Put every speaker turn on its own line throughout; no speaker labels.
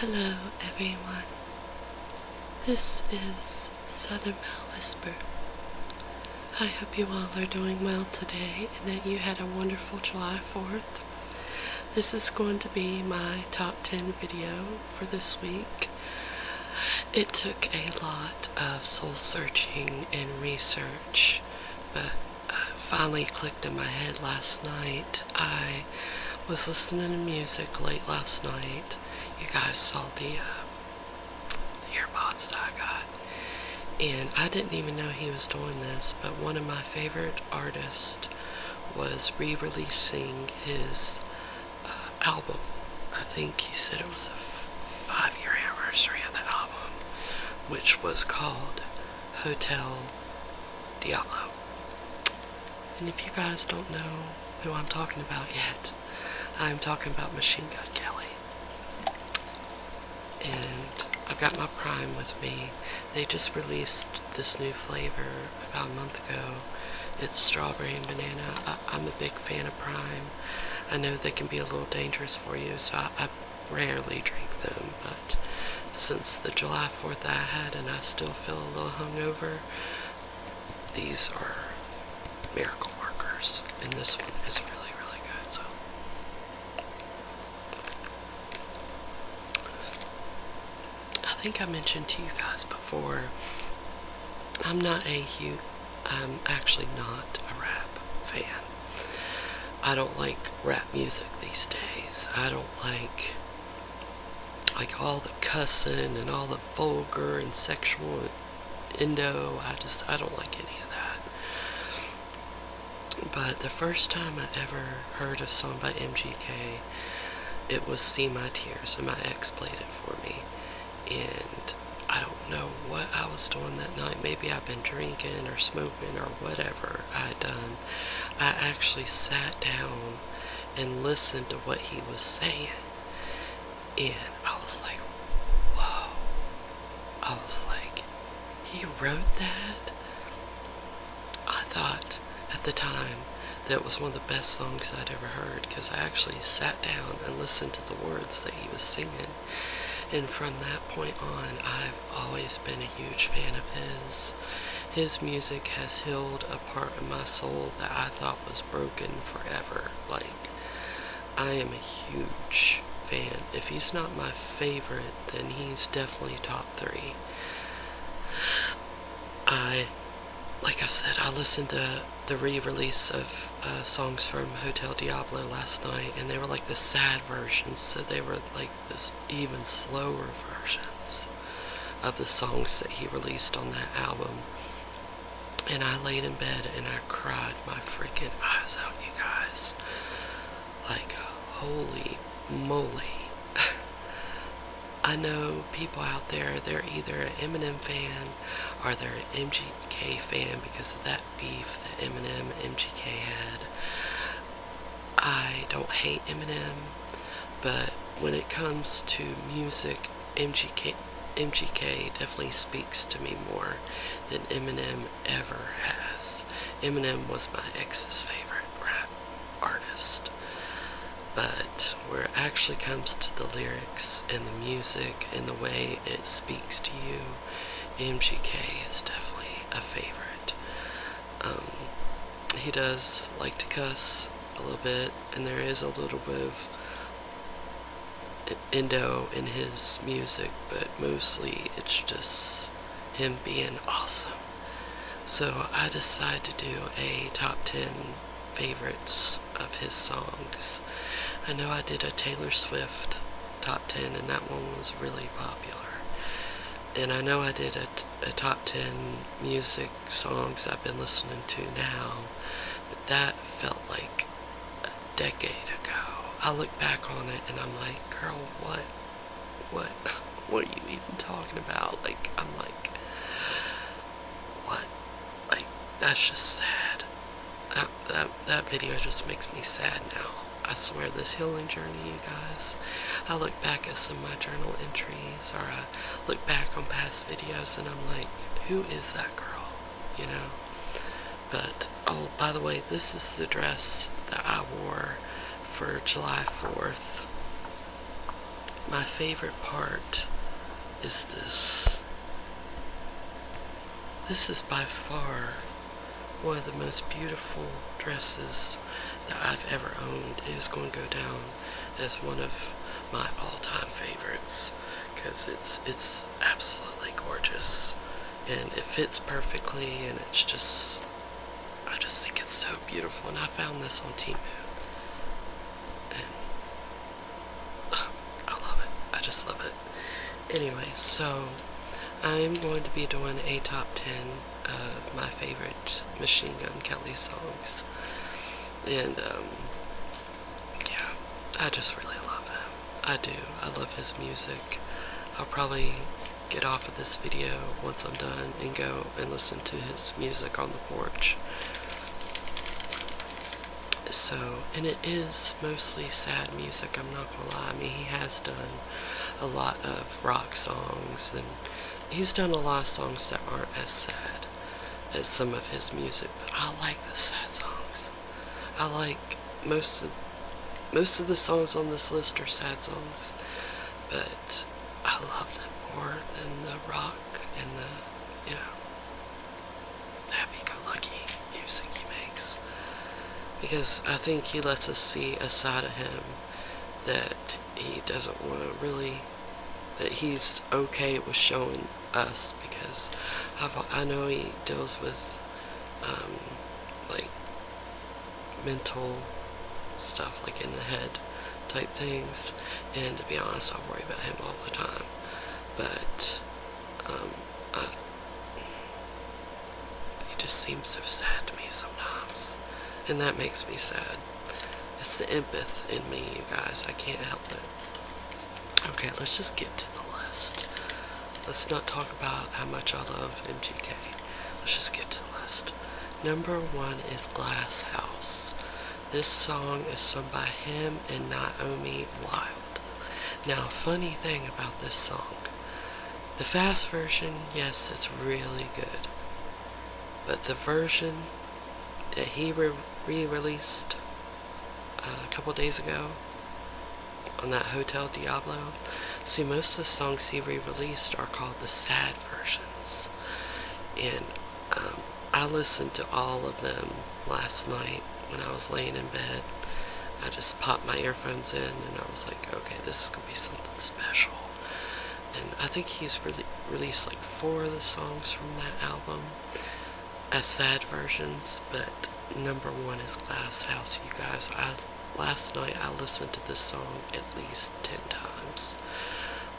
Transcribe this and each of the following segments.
Hello, everyone. This is Southern Belle Whisper. I hope you all are doing well today and that you had a wonderful July 4th. This is going to be my top 10 video for this week. It took a lot of soul searching and research, but uh, finally clicked in my head last night. I was listening to music late last night. You guys saw the, uh, the earbuds I got. And I didn't even know he was doing this, but one of my favorite artists was re releasing his uh, album. I think he said it was the five year anniversary of the album, which was called Hotel Diablo. And if you guys don't know who I'm talking about yet, I'm talking about Machine Gun Kelly. And I've got my Prime with me. They just released this new flavor about a month ago. It's strawberry and banana. I, am a big fan of Prime. I know they can be a little dangerous for you, so I, I rarely drink them but since the July 4th I had and I still feel a little hungover, these are miracle workers, and this one is really, really good. So. I think I mentioned to you guys before, I'm not a huge, I'm actually not a rap fan. I don't like rap music these days. I don't like like all the cussing and all the vulgar and sexual indo. I just, I don't like any of that. But the first time I ever heard a song by MGK, it was See My Tears, and my ex played it for me. And I don't know what I was doing that night. Maybe I've been drinking or smoking or whatever I had done. I actually sat down and listened to what he was saying. And I was like, whoa. I was like, he wrote that? I thought at the time that was one of the best songs I'd ever heard because I actually sat down and listened to the words that he was singing. And from that point on, I've always been a huge fan of his his music has healed a part of my soul that I thought was broken forever. Like, I am a huge fan. If he's not my favorite, then he's definitely top three. I, like I said, I listened to the re-release of uh, songs from Hotel Diablo last night, and they were like the sad versions, so they were like this even slower versions of the songs that he released on that album. And I laid in bed and I cried my freaking eyes out, you guys. Like, holy moly. I know people out there, they're either an Eminem fan or they're an MGK fan because of that beef that Eminem MGK had. I don't hate Eminem, but when it comes to music, MGK, MGK definitely speaks to me more than Eminem ever has. Eminem was my ex's favorite rap artist. But where it actually comes to the lyrics and the music and the way it speaks to you, MGK is definitely a favorite. Um, he does like to cuss a little bit, and there is a little bit of Indo in his music, but mostly it's just him being awesome. So I decided to do a top 10 favorites of his songs. I know I did a Taylor Swift top 10 and that one was really popular and I know I did a, top 10 music songs I've been listening to now, but that felt like a decade ago. I look back on it and I'm like, girl, what? What? What are you even talking about? Like, I'm like, what? Like, that's just sad. That, that, that video just makes me sad now. I swear this healing journey guys. I look back at some of my journal entries or I look back on past videos and I'm like, who is that girl? You know? But, oh, by the way, this is the dress that I wore for July 4th. My favorite part is this. This is by far one of the most beautiful dresses that I've ever owned is going to go down as one of my all-time favorites because it's it's absolutely gorgeous and it fits perfectly and it's just I just think it's so beautiful and I found this on Timu and I love it I just love it anyway so I'm going to be doing a top 10 of my favorite Machine Gun Kelly songs. And um, yeah, I just really love him. I do. I love his music. I'll probably get off of this video once I'm done and go and listen to his music on the porch. So, and it is mostly sad music, I'm not gonna lie. I mean, he has done a lot of rock songs and He's done a lot of songs that aren't as sad as some of his music, but I like the sad songs. I like most of most of the songs on this list are sad songs, but I love them more than the rock and the you know happy-go-lucky music he makes because I think he lets us see a side of him that he doesn't want to really, that he's okay with showing us because i know he deals with um, like mental stuff, like in the head type things, and to be honest, I worry about him all the time. But um, it just seems so sad to me sometimes, and that makes me sad. It's the empathy in me, you guys. I can't help it. Okay, let's just get to the list. Let's not talk about how much I love MGK. Let's just get to the list. Number one is Glass House. This song is sung by him and Naomi Wild. Now, funny thing about this song the fast version, yes, it's really good but the version that he re-released uh, a couple days ago on that Hotel Diablo. See, most of the songs he re-released are called the sad versions, and um, I listened to all of them last night when I was laying in bed. I just popped my earphones in, and I was like, okay, this is gonna be something special and I think he's released like four of the songs from that album as sad versions, but number one is Glass House, you guys. I last night I listened to this song at least ten times.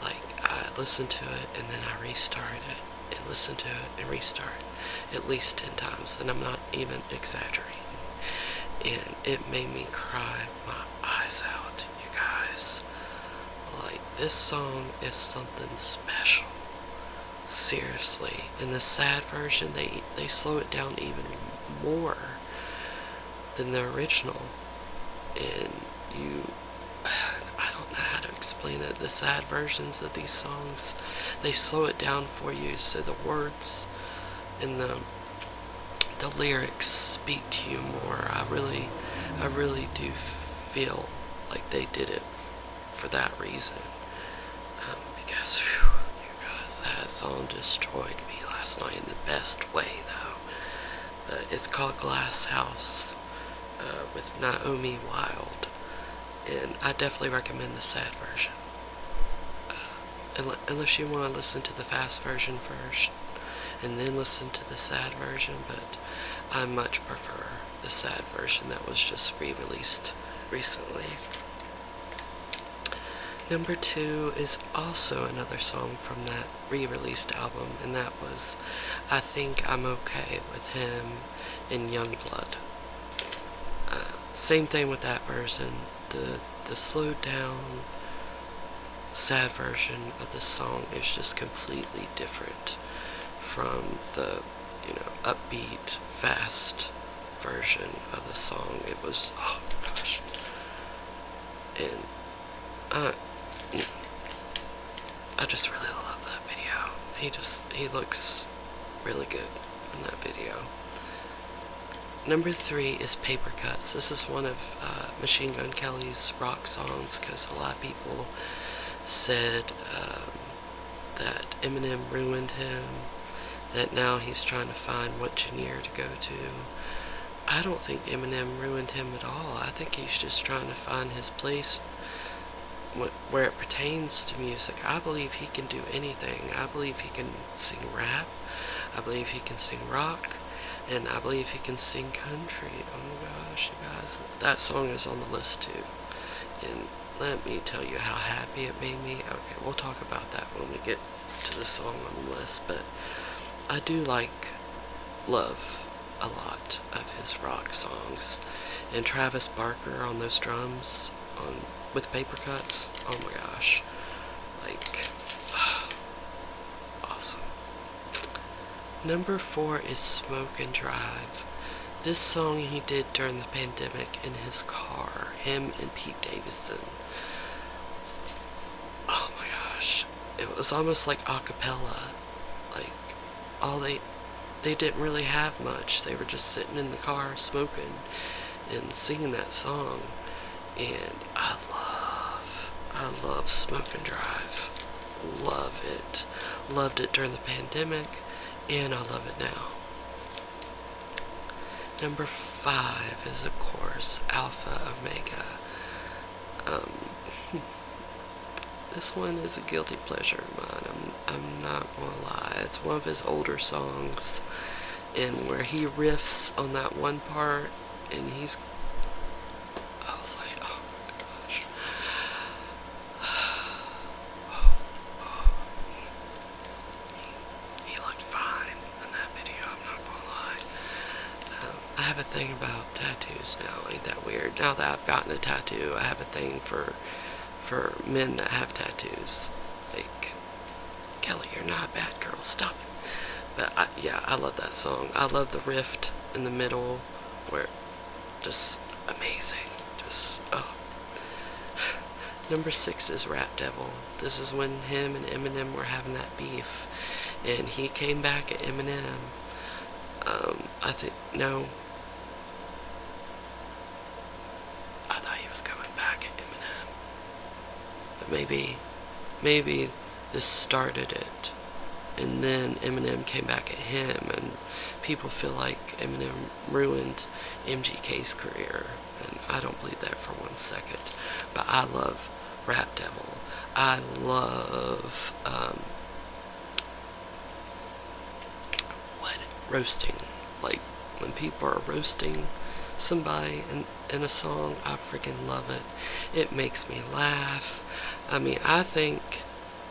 Like I listened to it and then I restarted it and listened to it and restarted at least ten times, and I'm not even exaggerating. And it made me cry my eyes out, you guys. Like, this song is something special. Seriously. In the sad version, they, they slow it down even more than the original. And you. I don't know how to explain it. The sad versions of these songs, they slow it down for you so the words and the the lyrics speak to you more. I really, I really do feel like they did it for that reason. Um, because, you guys, that song destroyed me last night in the best way, though. Uh, it's called Glass House uh, with Naomi Wild, and I definitely recommend the sad version. Uh, unless you want to listen to the fast version first and then listen to the sad version, but I much prefer the sad version that was just re released recently. Number two is also another song from that re released album, and that was I Think I'm Okay with Him in Youngblood. Uh, same thing with that version. The, the slowed down sad version of the song is just completely different from the you know upbeat fast version of the song it was oh gosh and uh, I just really love that video he just he looks really good in that video Number three is Paper Cuts. This is one of uh, Machine Gun Kelly's rock songs because a lot of people said um, that Eminem ruined him, that now he's trying to find what genre to go to. I don't think Eminem ruined him at all. I think he's just trying to find his place where it pertains to music. I believe he can do anything. I believe he can sing rap. I believe he can sing rock, and I believe he can sing country. Oh my gosh, you guys, that song is on the list too. And let me tell you how happy it made me. Okay, we'll talk about that when we get to the song on the list, but I do like love a lot of his rock songs. And Travis Barker on those drums on with paper cuts. Oh my gosh. Like Awesome. Number four is Smoke and Drive. This song he did during the pandemic in his car, him and Pete Davidson. Oh my gosh. It was almost like a cappella. Like all they they didn't really have much. They were just sitting in the car smoking and singing that song and I love, I love Smoke and Drive. Love it. Loved it during the pandemic, and I love it now. Number five is, of course, Alpha Omega. Um, this one is a guilty pleasure of mine. I'm, I'm not gonna lie. It's one of his older songs, and where he riffs on that one part and he's. I was like, oh my gosh. He, looked fine in that video, i not gonna lie. Um, I have a thing about tattoos now, ain't that weird? Now that I've gotten a tattoo, I have a thing for for men that have tattoos. Like, Kelly, you're not a bad girl. Stop it. But yeah, I love that song. I love the rift in the middle where just amazing. Just, oh. Number six is Rap Devil. This is when him and Eminem were having that beef. And he came back at Eminem. Um, I think, no. I thought he was coming back at Eminem. But maybe, maybe this started it. And then Eminem came back at him, and people feel like Eminem ruined MGK's career. And I don't believe that for one second. But I love Rap Devil. I love um, what roasting. Like when people are roasting somebody and in a song, I friggin love it. It makes me laugh. I mean, I think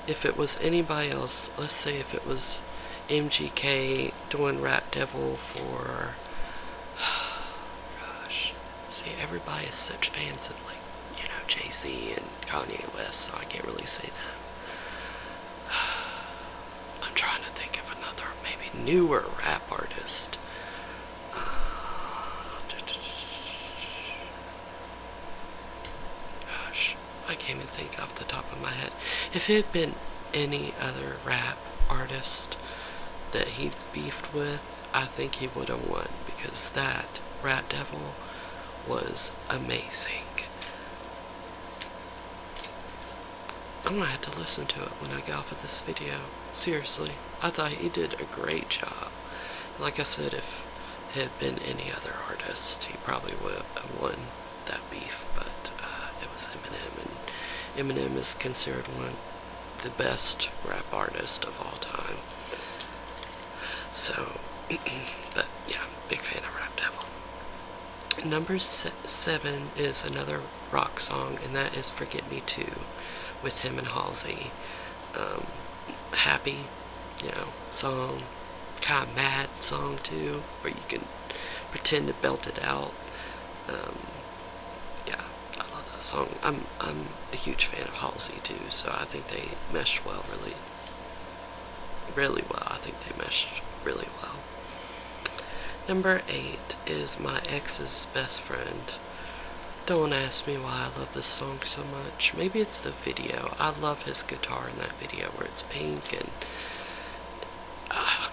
if it was anybody else, let's say if it was MGK doing Rap Devil for, gosh, see, everybody is such fans of like, you know, J.C. and Kanye West, so I can't really say that. I'm trying to think of another, maybe newer rap artist Gosh, I can't even think off the top of my head. If it had been any other rap artist that he beefed with, I think he would have won because that Rat Devil was amazing. I'm gonna have to listen to it when I go off of this video. Seriously, I thought he did a great job. Like I said, if it had been any other artist, he probably would have won that beef, but uh, it was Eminem, and Eminem is considered one of the best rap artists of all time. So, but yeah, big fan of Rap Devil. Number seven is another rock song, and that is Forget Me Too with him and Halsey. Um, happy, you know, song, kind of mad song too, but you can pretend to belt it out. Um, yeah, I love that song. I'm, I'm a huge fan of Halsey too, so I think they meshed well, really, really well. I think they meshed really well. Number eight, is my ex's best friend. Don't ask me why I love this song so much. Maybe it's the video. I love his guitar in that video where it's pink and I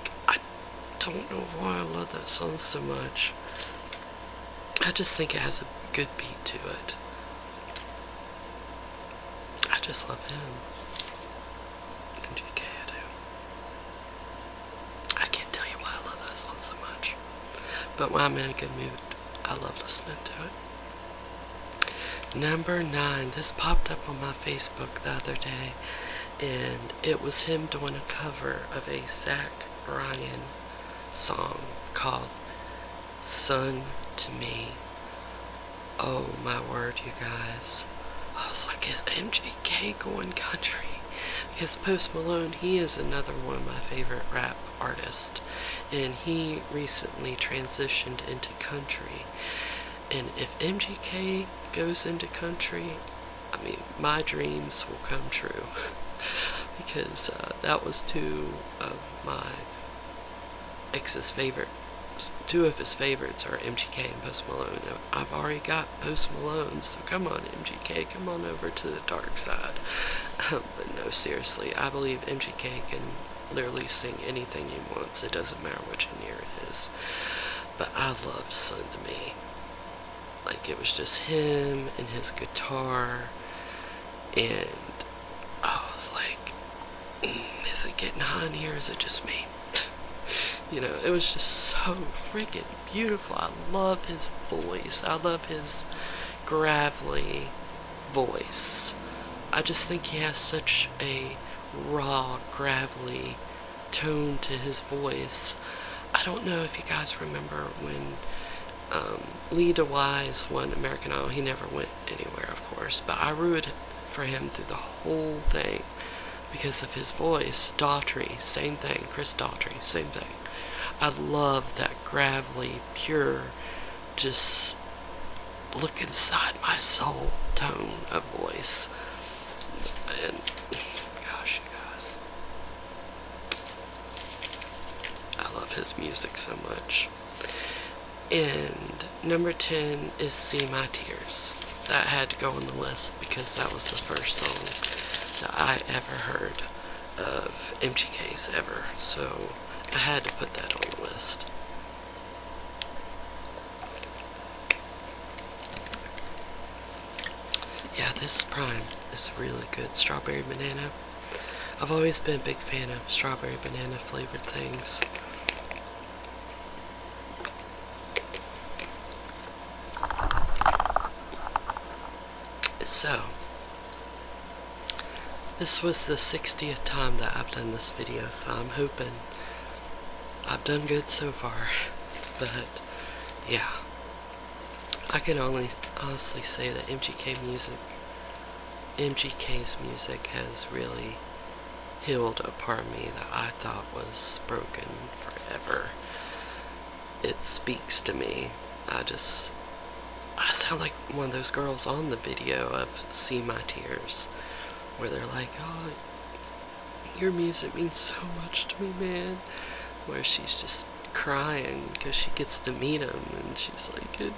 don't know why I love that song so much. I just think it has a good beat to it. I just love him. MGK I do. I can't tell you why I love that song so much. But why am I a good mood, I love listening to it. Number nine. This popped up on my Facebook the other day, and it was him doing a cover of a Zach Bryan song called "Sun to Me. Oh my word, you guys. I was like, is MJK going country? because Post Malone, he is another one of my favorite rap artists, and he recently transitioned into country. And if MGK goes into country, I mean, my dreams will come true because uh, that was two of my ex's favorite. Two of his favorites are MGK and Post Malone. I've already got Post Malone, so come on, MGK, come on over to the dark side. Um, but no, seriously, I believe MGK can literally sing anything he wants. It doesn't matter which year it is. But I love Sun to Me. Like, it was just him and his guitar, and oh, I was like, mm, is it getting hot in here? Is it just me? you know, it was just so freaking beautiful. I love his voice. I love his gravelly voice. I just think he has such a raw, gravelly tone to his voice. I don't know if you guys remember when um, Lee DeWise won American Idol. He never went anywhere, of course, but I rooted for him through the whole thing because of his voice. Daughtry, same thing. Chris Daughtry, same thing. I love that gravelly, pure, just look inside my soul tone of voice. And gosh, you guys, I love his music so much. And number 10 is See My Tears. That had to go on the list because that was the first song that I ever heard of MGKs ever, so I had to put that on the list. Yeah, this prime is really good. Strawberry banana. I've always been a big fan of strawberry banana flavored things. So, this was the 60th time that I've done this video, so I'm hoping I've done good so far. But, yeah. I can only honestly say that MGK music, MGK's music has really healed a part of me that I thought was broken forever it speaks to me. I just I sound like one of those girls on the video of See My Tears where they're like, Oh your music means so much to me, man where she's just crying because she gets to meet him and she's like it,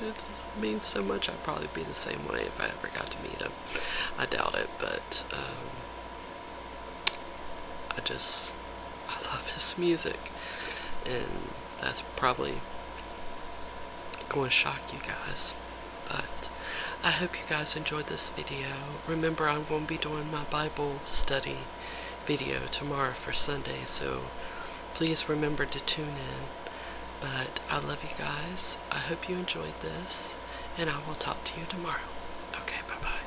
means so much i'd probably be the same way if i ever got to meet him i doubt it but um, I just I love his music, and that's probably going to shock you guys. But I hope you guys enjoyed this video. Remember, i won't be doing my Bible study video tomorrow for Sunday, so please remember to tune in. But I love you guys. I hope you enjoyed this, and I will talk to you tomorrow. Okay, bye bye.